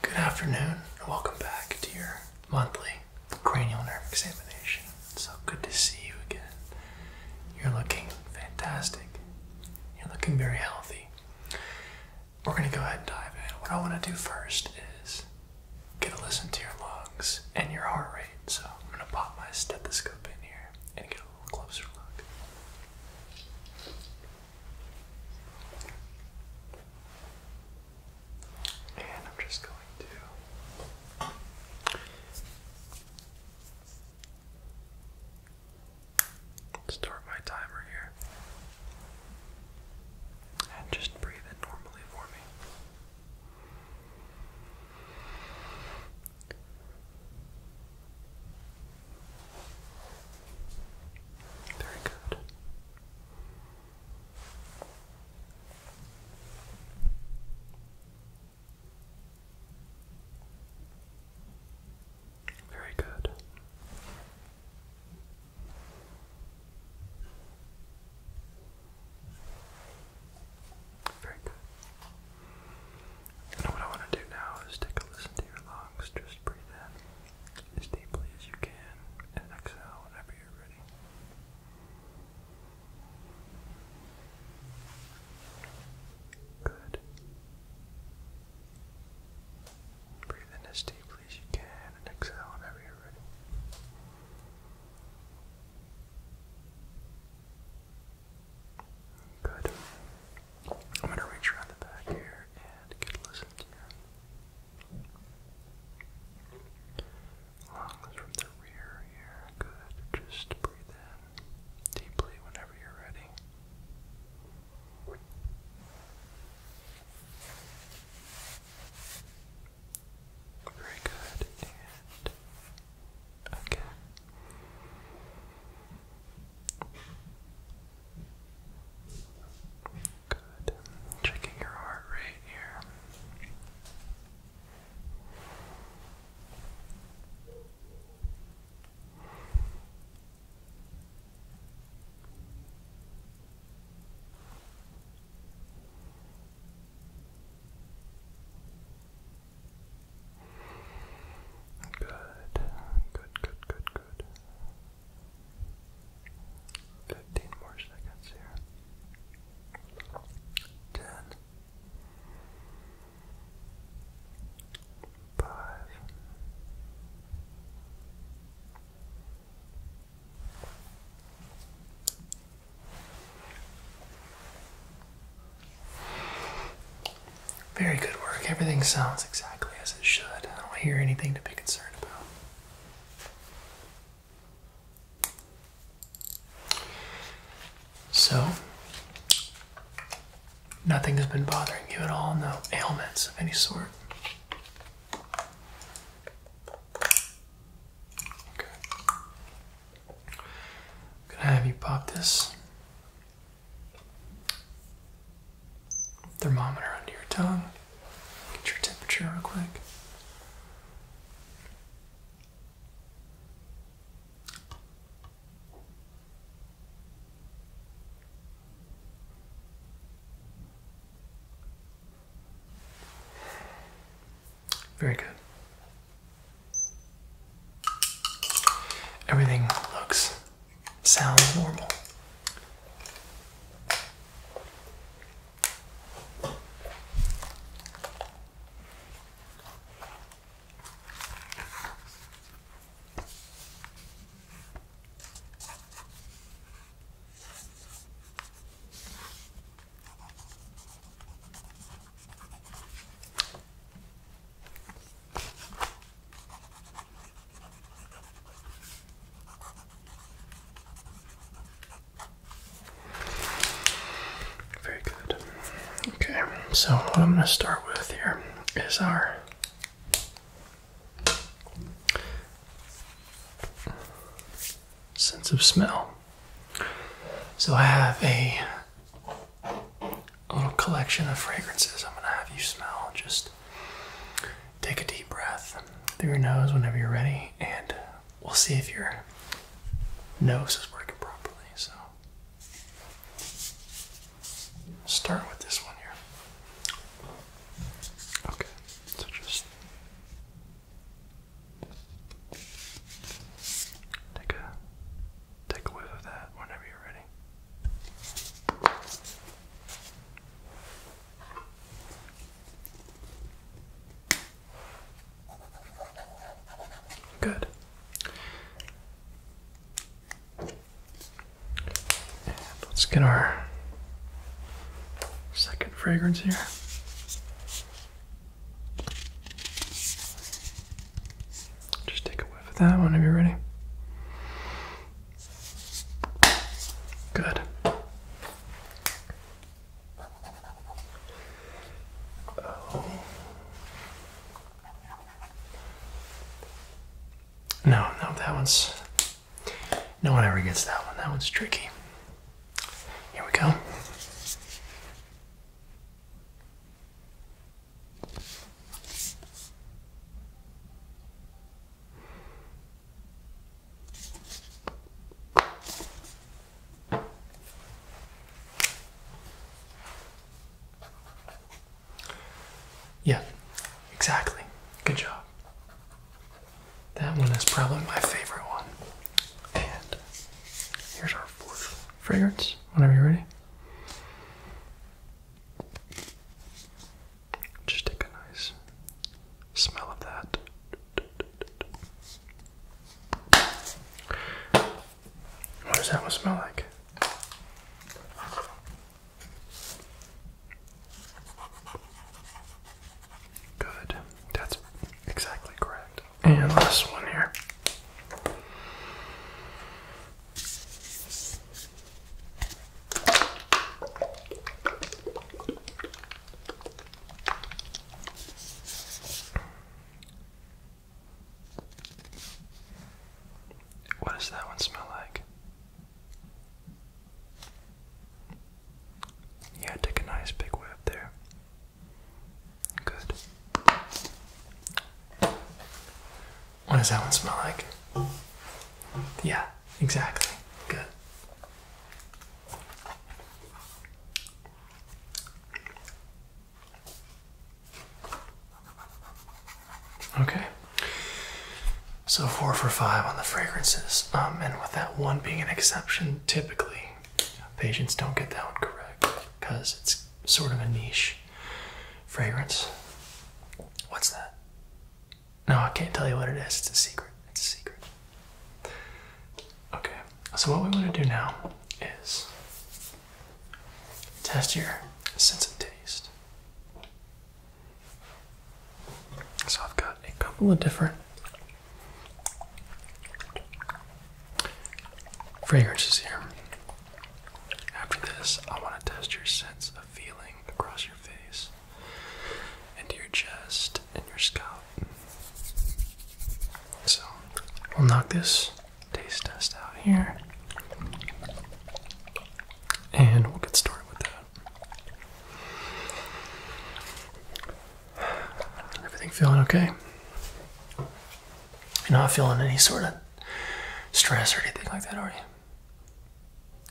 Good afternoon and welcome back to your monthly cranial nerve examination. So good to see you again. You're looking fantastic. You're looking very healthy. We're going to go ahead and dive in. What I want to do first is get a listen to your lungs and your heart rate. So I'm going to pop my stethoscope in here and get a little closer look. And I'm just going to store my timer here. And just breathe it normally for me. Very good. Very good. Very good. And what I want to do now is take a listen to your lungs. Just breathe in as deeply as you can, and exhale whenever you're ready. Good. Breathe in as deeply as you can, and exhale whenever you're ready. Good. I'm going to reach around the back here and get a listen to your Lungs from the rear here. Good. Just breathe in deeply whenever you're ready. Very good. And again. Good. Checking your heart rate here. Good, good, good, good, good. Fifteen more seconds here. Ten. Five. Very good work. Everything sounds exactly as it should. I don't hear anything to be concerned about. So, nothing has been bothering you at all, no ailments of any sort. Okay. i have you pop this thermometer under your tongue. Get your temperature real quick. Very good. Everything looks sounds normal. Very good. Okay, so what I'm going to start with here is our sense of smell. So I have a little collection of fragrances I'm going to have you smell just take a deep breath through your nose whenever you're ready, and we'll see if your nose is working properly. So, start with this one here. Okay, so just take a take a whiff of that whenever you're ready. Good. let's get our second fragrance here. Just take a whiff of that one Are you ready. Good. Oh. No, no, that one's. No one ever gets that one. That one's tricky. Here we go. Yeah, exactly. Good job. That one is probably my favorite one. And here's our fourth fragrance whenever you're ready. Just take a nice smell of that. What does that one smell like? Good. That's exactly correct. And last one here. What does that one smell like? Yeah, take a nice big whiff there. Good. What does that one smell like? Yeah, exactly. Good. Okay. So four for five on the fragrances, um, and with that one being an exception, typically patients don't get that one correct because it's sort of a niche fragrance. What's that? No, I can't tell you what it is. It's a secret. It's a secret. Okay, so what we want to do now is test your sense of taste. So I've got a couple of different fragrances here. After this, I want to test your sense of feeling across your face, into your chest, and your scalp. So, we'll knock this taste test out here, and we'll get started with that. Everything feeling okay? You're not feeling any sort of stress or anything like that, are you?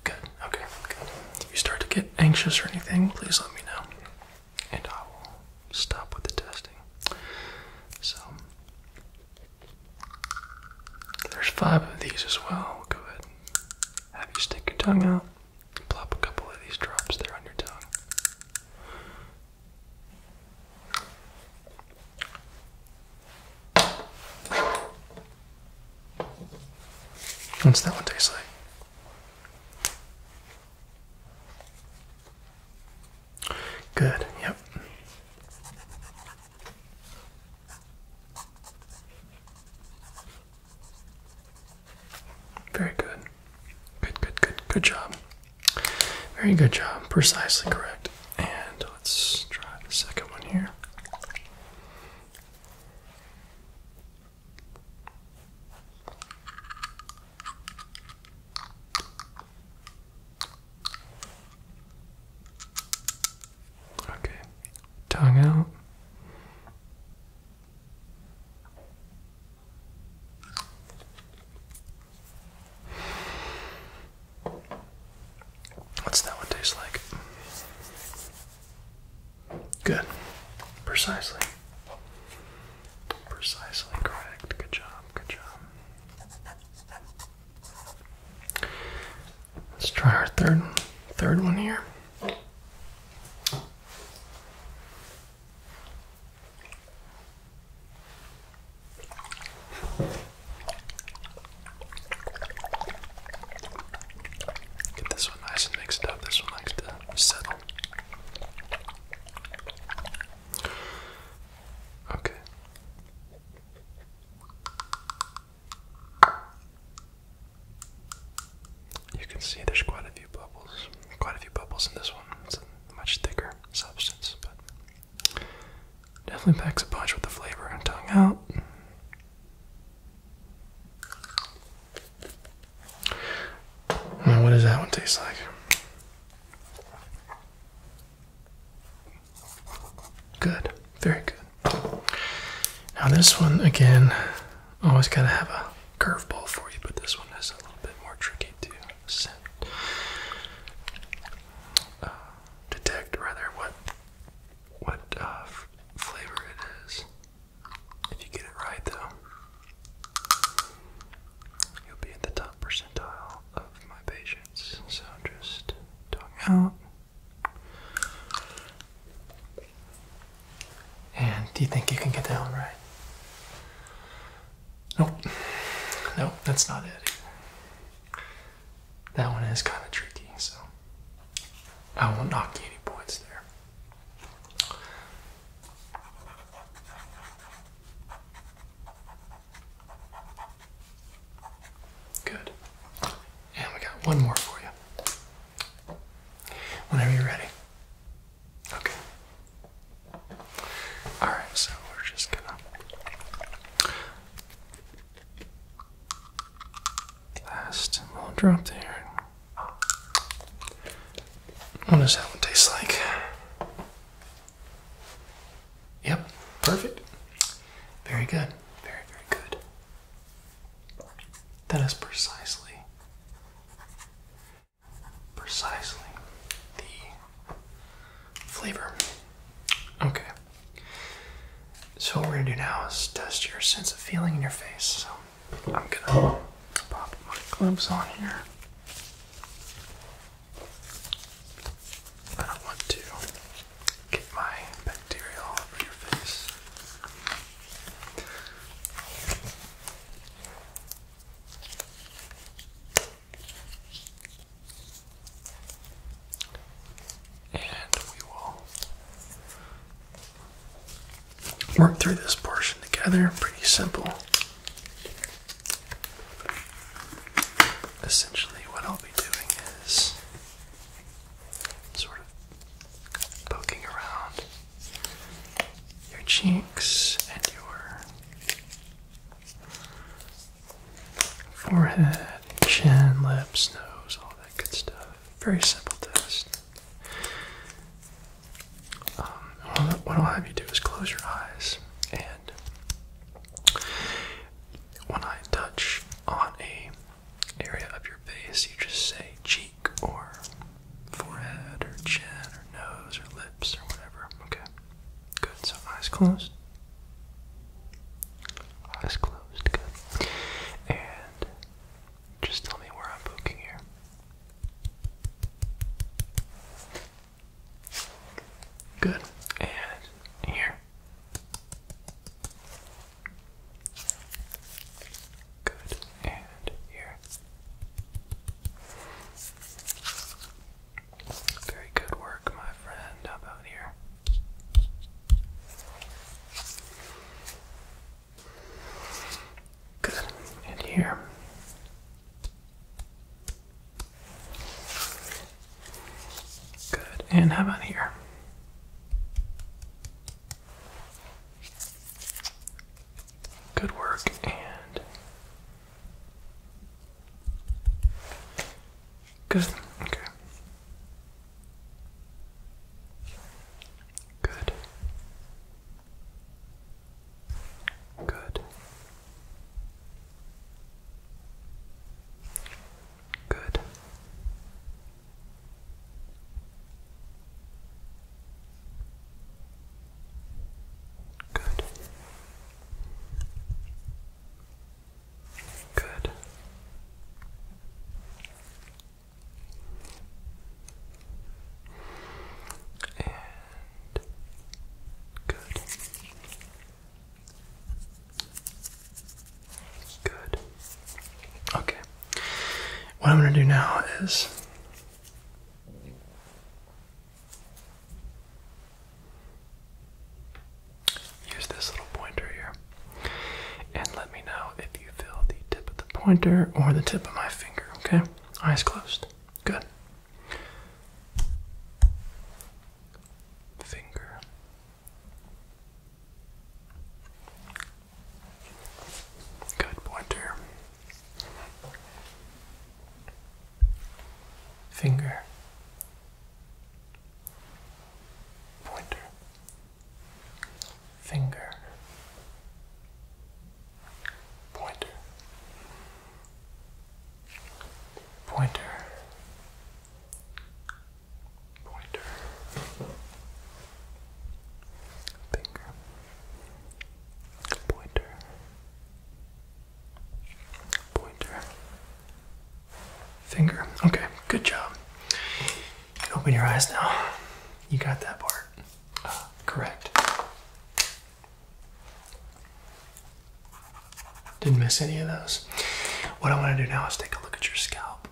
Good. Okay. Good. If you start to get anxious or anything, please let me know, and I will stop with the testing. So there's five of these as well. go ahead. have you stick your tongue out. Plop a couple of these drops there on your tongue. What's that one taste like? Good, yep. Very good. Good, good, good, good job. Very good job. Precisely correct. And let's try the second one here. Okay, tongue out. What's that one taste like? Good. Precisely. Precisely correct. Good job. Good job. Let's try our third third one here. Get this one nice and mixed up. This one likes settle. Okay. You can see there's quite a few bubbles. Quite a few bubbles in this one. It's a much thicker substance, but Definitely packs a punch with the flavor and tongue out. Now, what does that one taste like? Good, very good. Now, this one again, always gotta have a curveball for you, but this one is a little bit more tricky to scent. Uh, detect rather what what uh, flavor it is. If you get it right, though, you'll be in the top percentile of my patients. So just tongue out. And do you think you can get that one right? Nope. No, that's not it. That one is kind of tricky, so I won't knock you any points there. Good. And we got one more for you. Whenever you're ready. Okay. Alright, so we're just gonna Last little drop there. What does that one taste like? Yep, perfect. Very good. Very, very good. That is precisely, precisely the flavor. Okay. So what we're gonna do now is test your sense of feeling in your face. So I'm gonna pop my gloves on here. I don't want to get my bacteria all over your face. And we will work through this portion together. Pretty simple. Essentially, what I'll be doing is sort of poking around your cheeks and your forehead, chin, lips, nose, all that good stuff. Very simple test. Um, what I'll have you do is close your eyes, and when I touch on a area of your face, you just say cheek or forehead or chin or nose or lips or whatever. Okay. Good, so eyes closed. Eyes closed, good. And just tell me where I'm poking here. Good. And here. Good. And here. Very good work, my friend. How about here? Good. And here. Good. And how about here? Good work. And Good. Okay. Good. Good. Good. Good. Good. And good. Good. Okay. What I'm going to do now is Use this little pointer here. And let me know if you feel the tip of the pointer or the tip of my finger, okay? Eyes closed. Good. Finger. Good pointer finger, pointer, finger, pointer, pointer, pointer, finger, pointer. Finger, pointer, finger. Okay, good job. Open your eyes now. You got that part correct. Didn't miss any of those. What I want to do now is take a look at your scalp.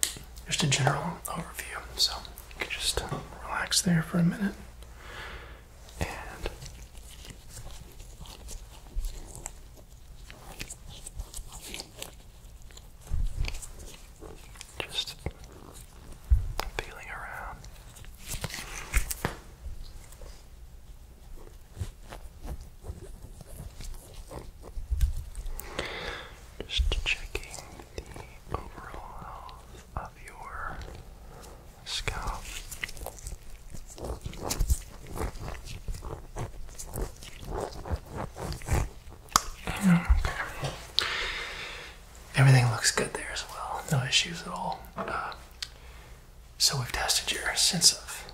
Just a general overview. So you can just relax there for a minute. And just feeling around. Just checking the overall health of your scarf. Okay. Everything looks good there as well. No issues at all. Uh, so we've tested your sense of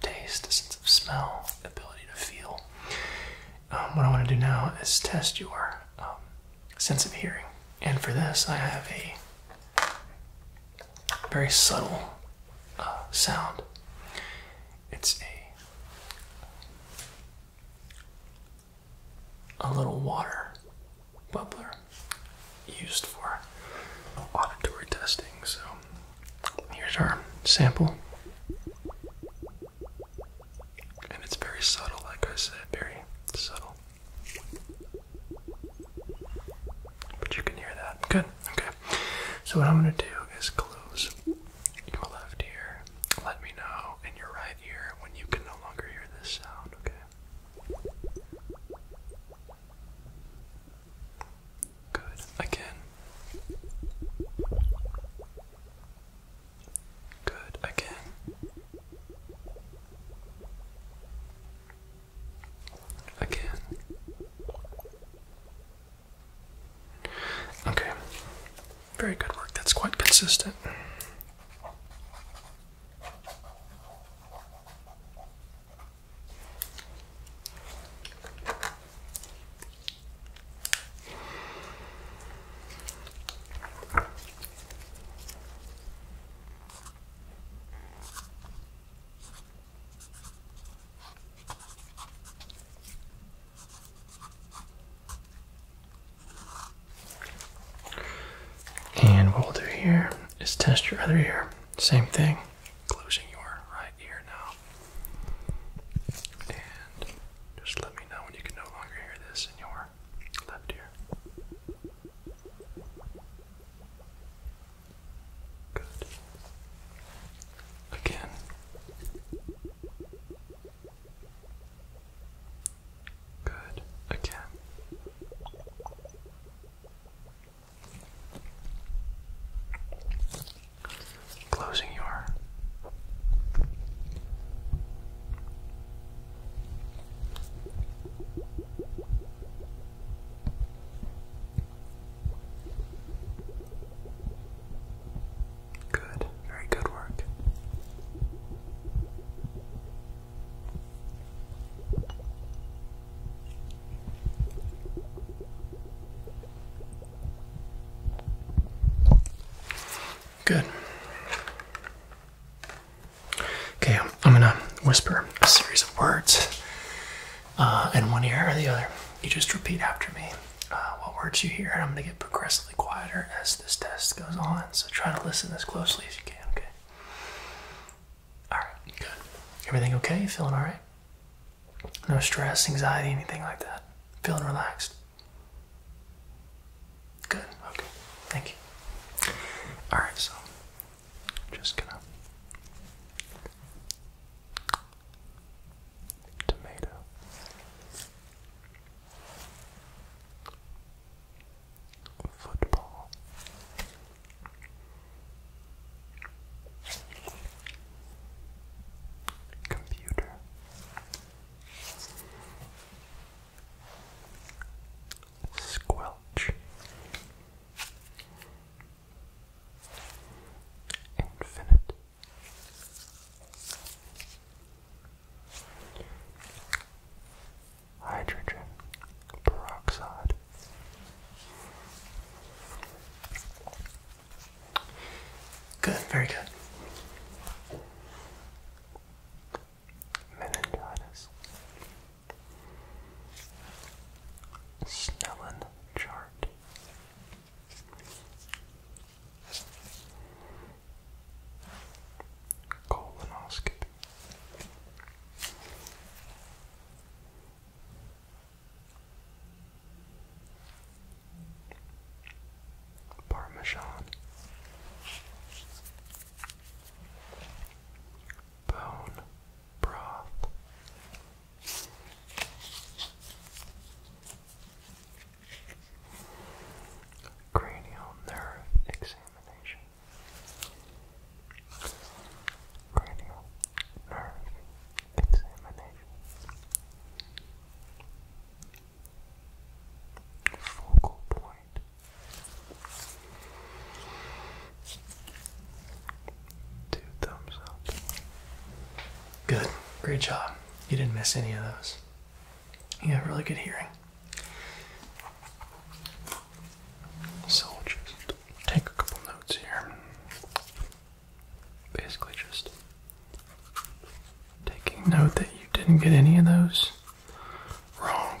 taste, sense of smell, ability to feel. Um, what I want to do now is test your um, sense of hearing. And for this, I have a very subtle uh, sound. It's a a little water bubbler used for auditory testing. So here's our sample. And it's very subtle, like I said, very subtle. But you can hear that. Good. Okay. So what I'm gonna do is close your left ear. Let me know in your right ear when you can no longer hear this sound. Okay. Good. Again. Good. Again again. Okay, very good work. That's quite consistent. And what we'll do here is test your other ear. Same thing, closing your right ear now. And just let me know when you can no longer hear this in your left ear. Good. Again. Good. Again. Closing your Good, very good work. Good. Okay, I'm, gonna whisper a series of words uh, in one ear or the other. You just repeat after me uh, what words you hear, and I'm gonna get progressively quieter as this test goes on. So try to listen as closely as you can, okay? Alright, good. Everything okay? You feeling alright? No stress, anxiety, anything like that? Feeling relaxed? Good, okay. Thank you. Alright, so just gonna tomato. Football. Computer squelch. Infinite. Hydrogen peroxide. Good, very good. Meningitis. Snellen chart. Colonoscopy. Parmesan. Bone Cranial nerve examination. Cranial nerve examination. Focal point Two thumbs up. Good. Great job. You didn't miss any of those. You have really good hearing. So take a couple notes here. Basically, just taking note that you didn't get any of those wrong.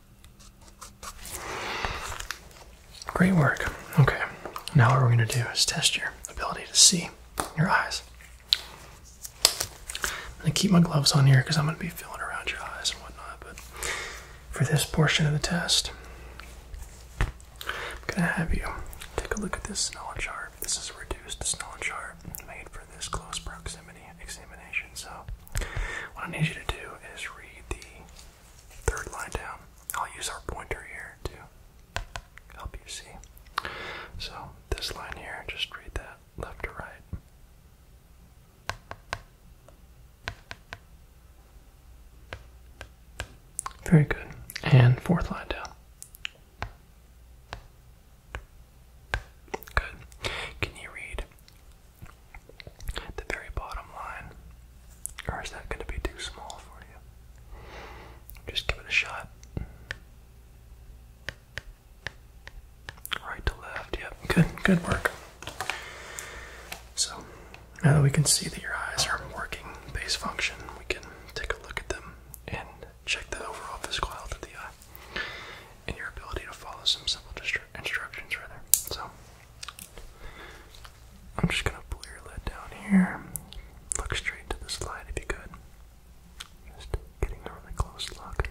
Great work. Okay, now what we're going to do is test your ability to see your eyes. I'm going to keep my gloves on here because I'm going to be feeling around your eyes and whatnot, but for this portion of the test, I'm going to have you take a look at this Snellen chart. This is a reduced Snellen chart made for this close proximity examination. So, what I need you to do is read the third line down. I'll use our pointer here to help you see. So, this line here, just read that left to right. Very good. And fourth line down. Good. Can you read the very bottom line. Or is that going to be too small for you? Just give it a shot. Right to left, yep. Good, good work. So, now that we can see that your eyes are working base function, we can take a look at them and check the overall physical health of the eye and your ability to follow some simple instructions, rather. So, I'm just gonna pull your lid down here. Look straight to the slide if you could. Just getting a really close look.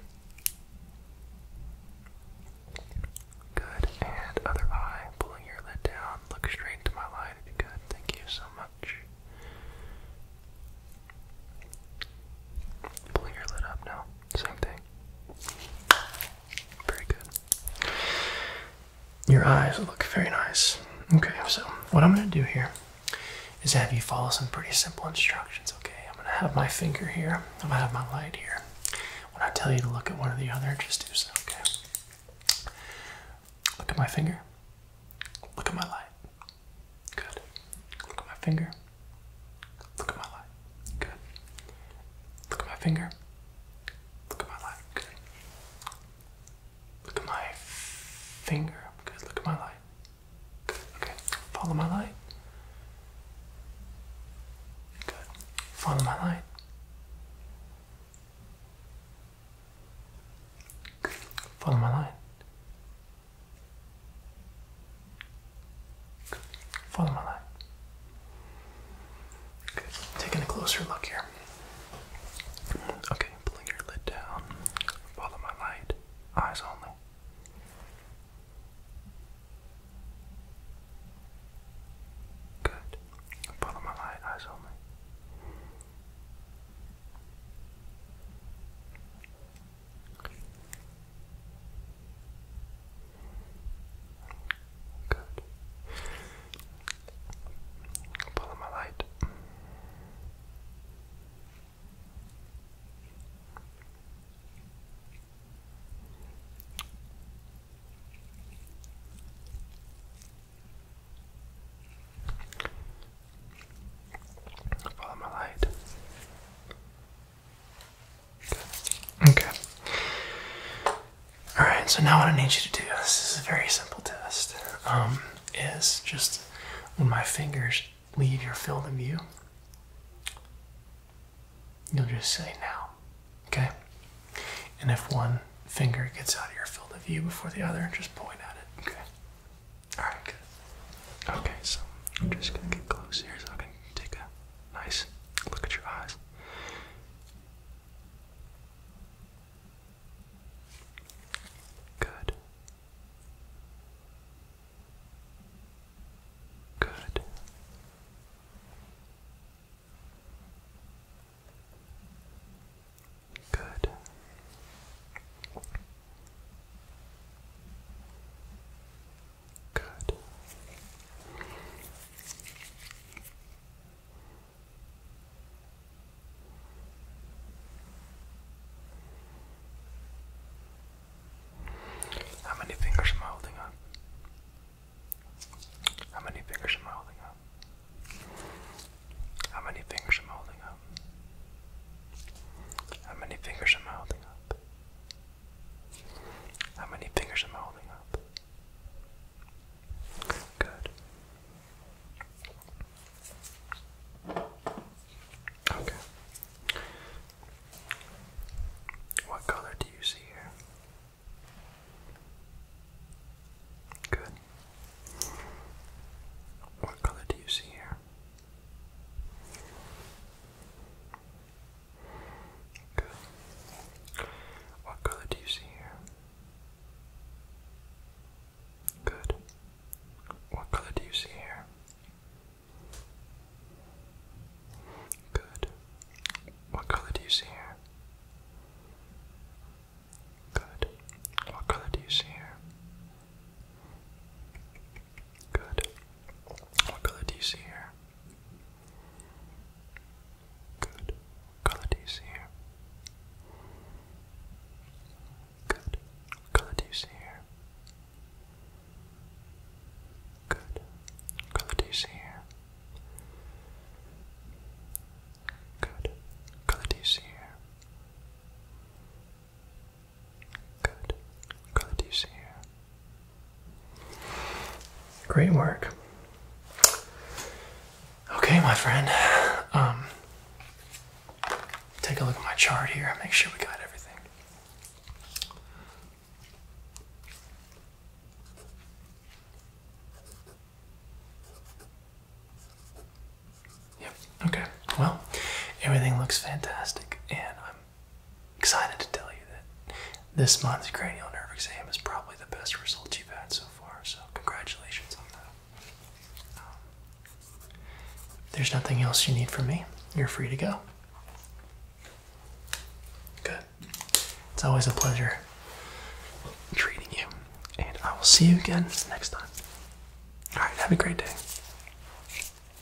Good, and other eye, pulling your lid down. Look straight to my light if you could. Thank you so much. Pulling your lid up now. Same thing. Very good. Your eyes look very nice. Okay, so what I'm going to do here is have you follow some pretty simple instructions, okay? I'm going to have my finger here, I'm going to have my light here. When I tell you to look at one or the other, just do so, okay? Look at my finger. Look at my light. Good. Look at my finger. Look at my light. Good. Look at my finger. Look at my light. Good. Look at my finger. Good. Look at my light. Good. Okay. Follow my light. Good. Follow my light. Good. Follow my light. Follow my light. Okay, taking a closer look here. Okay, pulling your lid down. Follow my light. Eyes only. Good. Follow my light. Eyes only. Good. Follow my light. Follow my light. Okay. Alright, so now what I need you to do, this is a very simple test, um, is just when my fingers leave your field of view, you'll just say now. Okay? And if one finger gets out of your field of view before the other, just point at it. Okay? Alright, Okay, so I'm just gonna get close here so I can take a Nice. Look at your eyes. Good. Good. Good. Good. How many fingers am I holding up? How many fingers am I holding up? How many fingers am I holding up? How many fingers am I holding up? How many fingers am I holding up? Good. Okay. What color do you see here? Good. What color do you see here? Good. What color do you see here? Good. What color do you see here? Good. What color do you see here? Good. What color do you see here? Good. What color do you see here? Good. color do you see here? Good. color do you see here? Good. color do you see here? Good. color do you see here? Good. Good, you see here. Great work. Okay, my friend. Um, take a look at my chart here make sure we got everything. Yep, okay. Well, everything looks fantastic, and I'm excited to tell you that this month's cranial nerve exam is probably the best result you've had so far. So congratulations on that. Um, there's nothing else you need from me. You're free to go. Good. It's always a pleasure treating you, and I will see you again next time. All right. Have a great day.